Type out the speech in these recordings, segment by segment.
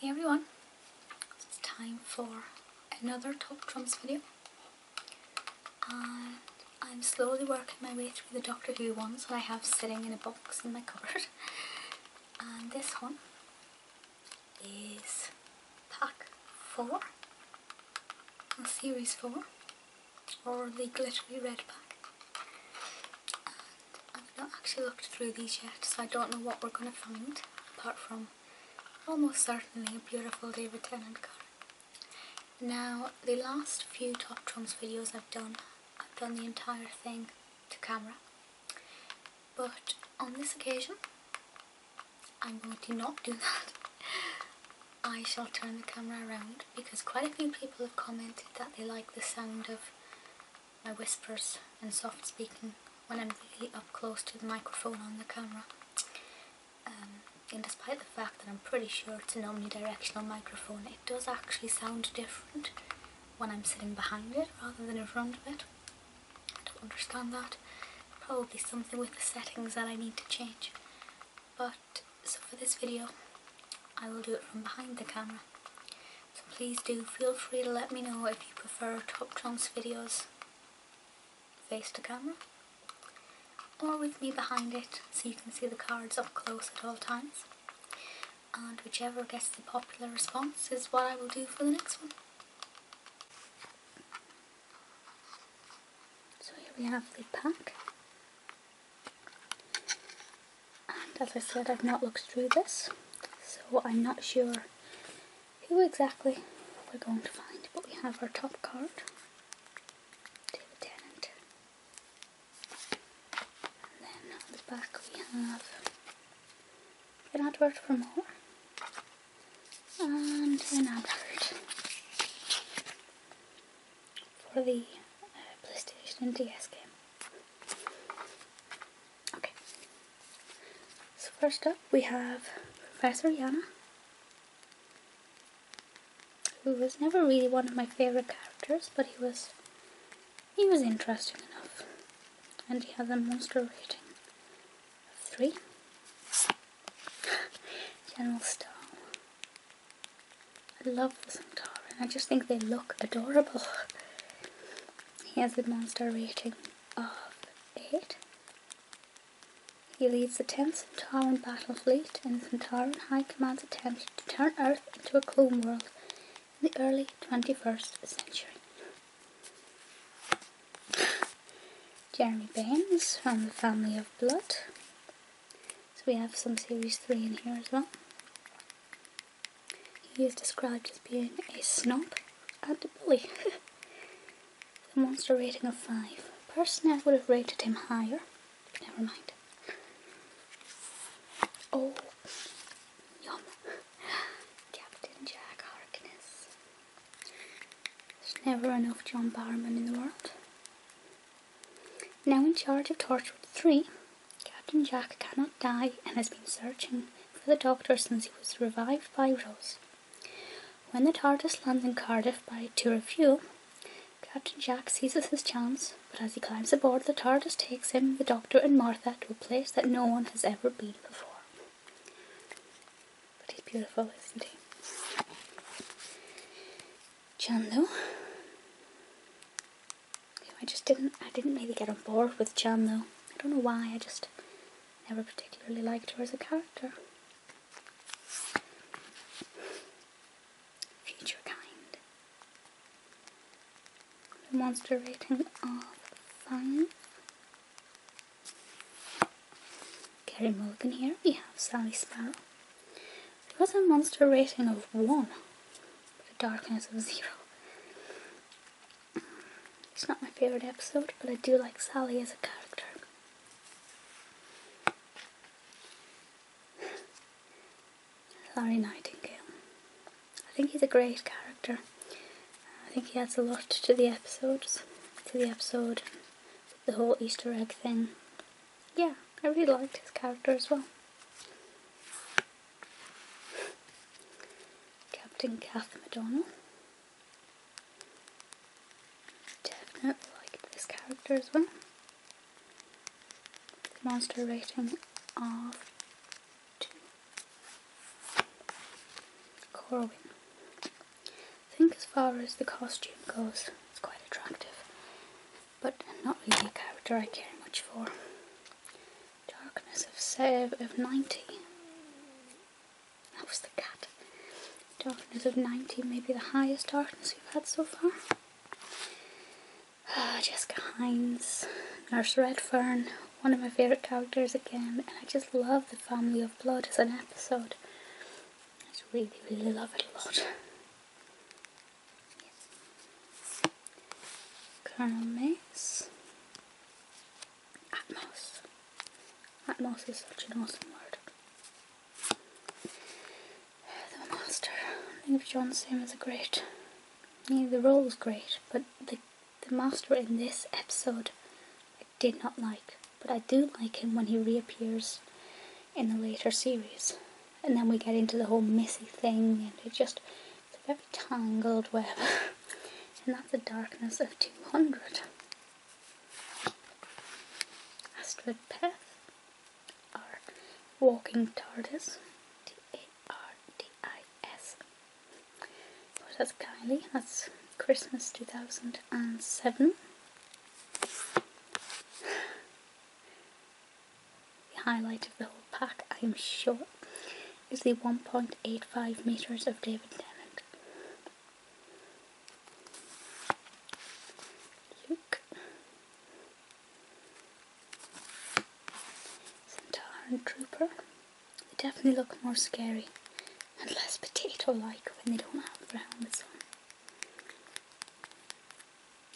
Hey everyone, it's time for another top trumps video and I'm slowly working my way through the Doctor Who ones that I have sitting in a box in my cupboard and this one is pack 4 series 4 or the glittery red pack I've not actually looked through these yet, so I don't know what we're going to find, apart from almost certainly a beautiful David Tennant card. Now, the last few Top Trumps videos I've done, I've done the entire thing to camera. But on this occasion, I'm going to not do that. I shall turn the camera around because quite a few people have commented that they like the sound of my whispers and soft speaking when I'm really up close to the microphone on the camera. Um, and despite the fact that I'm pretty sure it's an omnidirectional microphone, it does actually sound different when I'm sitting behind it rather than in front of it. I don't understand that. Probably something with the settings that I need to change. But, so for this video, I will do it from behind the camera. So please do feel free to let me know if you prefer Top Trumps videos face to camera or with me behind it so you can see the cards up close at all times. And whichever gets the popular response is what I will do for the next one. So here we have the pack. And as I said, I've not looked through this, so I'm not sure who exactly we're going to find, but we have our top card, David Tennant. And then on the back we have an advert for more, and an advert for the PlayStation and DS game. Okay. So first up we have Professor Yana, who was never really one of my favorite characters, but he was he was interesting enough, and he has a monster rating of three. General Stone, I love the Centauran. I just think they look adorable. He has a monster rating of 8. He leads the 10th Centauran battle fleet, in the Centauran High Command's attempt to turn Earth into a clone world in the early 21st century. Jeremy Baines from the Family of Blood. So we have some series 3 in here as well. He is described as being a snob and a bully. the monster rating of 5. Personally, I would have rated him higher. Never mind. Oh, yum. Captain Jack Harkness. There's never enough John Barrowman in the world. Now in charge of Torchwood 3, Captain Jack cannot die and has been searching for the Doctor since he was revived by Rose. When the TARDIS lands in Cardiff by to refuel, Captain Jack seizes his chance, but as he climbs aboard, the TARDIS takes him, the Doctor, and Martha to a place that no one has ever been before. But he's beautiful, isn't he? Chando I just didn't, I didn't really get on board with Jan though. I don't know why, I just never particularly liked her as a character. Future kind. The monster rating of 5. Kerry Mulligan here, we have Sally Sparrow. It was a monster rating of 1, with a darkness of 0. It's not my favourite episode, but I do like Sally as a character. Larry Nightingale. I think he's a great character. I think he adds a lot to the episodes, to the episode, the whole Easter egg thing yeah, I really liked his character as well. Captain Kath McDonald. Definitely liked this character as well. monster rating of two. Corwin. I think as far as the costume goes, it's quite attractive but not really a character I care much for. Darkness of Save of 90. That was the cat. Darkness of 90, maybe the highest darkness we've had so far. Uh, Jessica Hines, Nurse Redfern, one of my favourite characters again, and I just love the Family of Blood as an episode. I just really, really love it a lot. Yes. Caramel Atmos. is such an awesome word. The Monster. I think John Sim is a great. Yeah, the role was great, but the the Master in this episode I did not like. But I do like him when he reappears in the later series. And then we get into the whole Missy thing, and it just, it's a very tangled web. and that's the darkness of 200. Astrid Peth, our walking TARDIS, T-A-R-D-I-S. So that's Kylie, that's Christmas 2007. The highlight of the whole pack, I am sure, is the 1.85 metres of David Tennant. Luke. Centauran Trooper. They definitely look more scary and less potato like when they don't have their with on.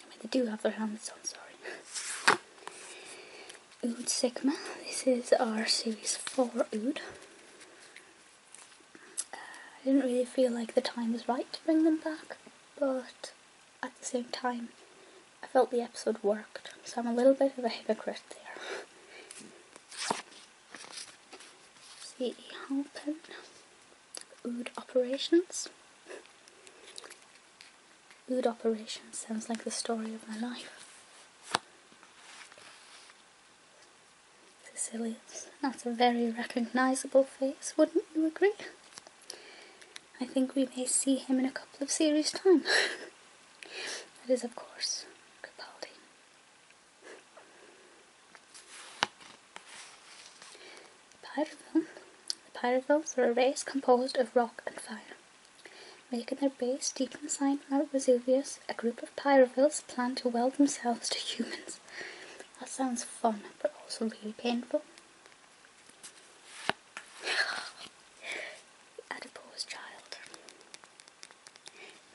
I mean, they do have their helmets on, sorry. Oud Sigma, this is our series 4 Ood. Uh, I didn't really feel like the time was right to bring them back, but at the same time, I felt the episode worked, so I'm a little bit of a hypocrite there. See, open. Ood Operations. Ood Operations sounds like the story of my life. Sicilians. That's a very recognisable face, wouldn't you agree? I think we may see him in a couple of series' time. that is, of course, Capaldi. Pyruville. The pyruvilles are a race composed of rock and fire. Making their base deep inside Mount Vesuvius, a group of pyruvilles plan to weld themselves to humans. That sounds fun, but also really painful. adipose child.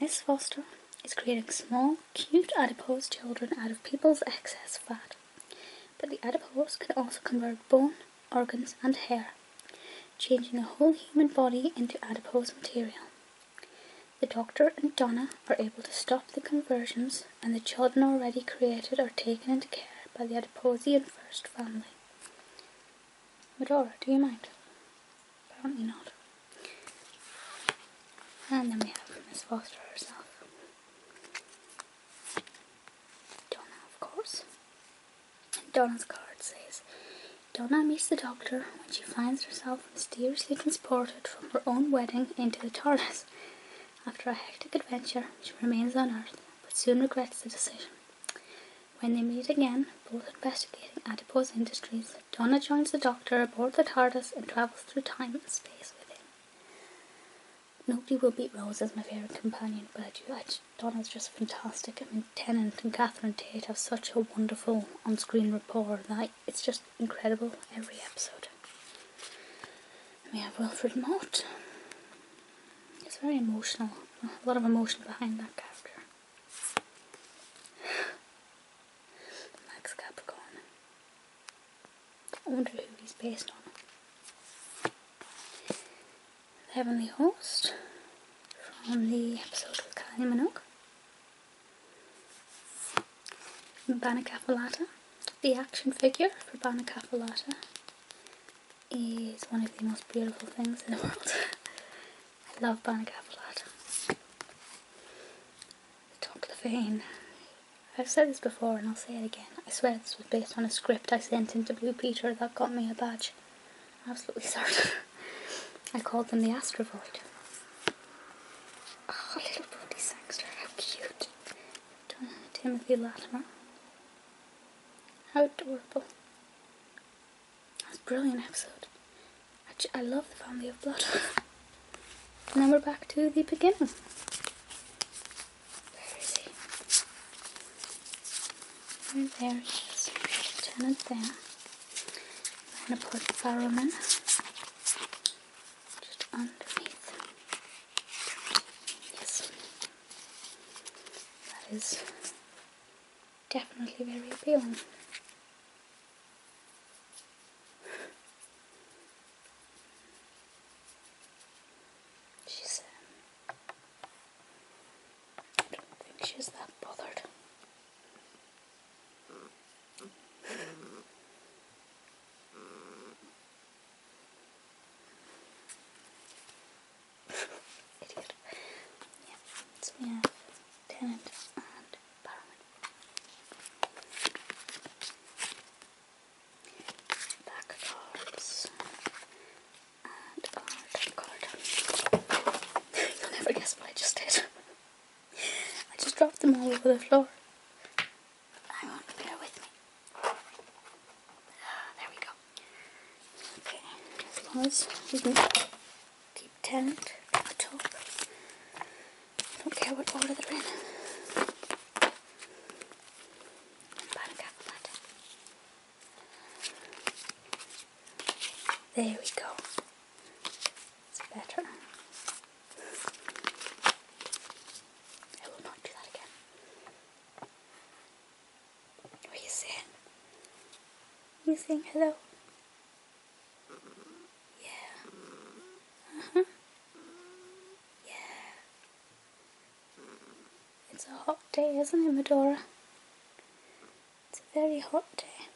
Miss Foster is creating small cute adipose children out of people's excess fat. But the adipose can also convert bone, organs, and hair, changing a whole human body into adipose material. The doctor and Donna are able to stop the conversions, and the children already created are taken into care by the Adiposian First Family. Medora, do you mind? Apparently not. And then we have Miss Foster herself. Donna, of course. Donna's card says Donna meets the doctor when she finds herself mysteriously transported from her own wedding into the TARDIS. After a hectic adventure, she remains on Earth but soon regrets the decision. When they meet again, both investigating Adipose Industries, Donna joins the Doctor aboard the TARDIS and travels through time and space with him. Nobody will beat Rose as my favourite companion, but I do. Donna's just fantastic. I mean, Tennant and Catherine Tate have such a wonderful on screen rapport that it's just incredible every episode. we have Wilfred Mott. It's very emotional, a lot of emotion behind that character. Max Capricorn. I wonder who he's based on. Heavenly Host from the episode with Kylie Minogue. Banacapolata. The action figure for Banacapolata is one of the most beautiful things in the world. I love Banacapolata the top I've said this before and I'll say it again. I swear this was based on a script I sent into Blue Peter that got me a badge. absolutely certain. I called them the Astrovoid. Oh, little Bodhi Sangster, how cute. Timothy Latimer. How adorable. That was a brilliant episode. I love the family of blood. now we're back to the beginning. There he? And there he is. Lieutenant there. I'm going to put the Barrowman just underneath. Yes. That is definitely very appealing. She's, um, I don't think she's that bothered. Idiot. Yeah, so we Talent and Paramount. Back cards and our card. You'll never guess what I just did. I just dropped them all over the floor. Hang on, bear with me. Ah, there we go. Okay, as long Keep tent, at the top. Don't care what order they're in. There we go. It's better. I will not do that again. What are you saying? Are you saying hello? Yeah. Uh-huh. Yeah. It's a hot day, isn't it, Medora? It's a very hot day.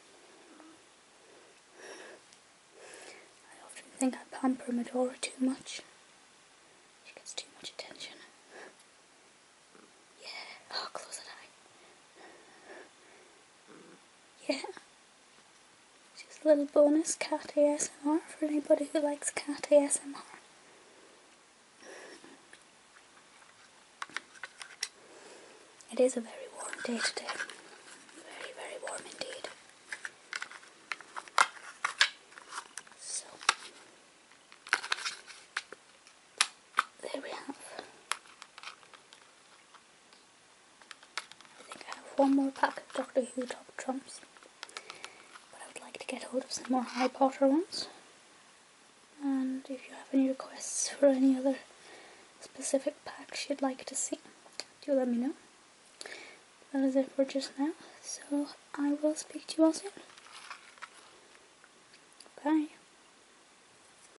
I often think I pamper Medora too much. She gets too much attention. Yeah. Oh, close eye yeah. Just a little bonus cat smr for anybody who likes cat smr. It is a very warm day today. Very, very warm indeed. So, there we have I think I have one more pack of Doctor Who Top Trumps. But I would like to get hold of some more Harry Potter ones. And if you have any requests for any other specific packs you'd like to see, do let me know. That is it for just now, so I will speak to you all soon. Bye.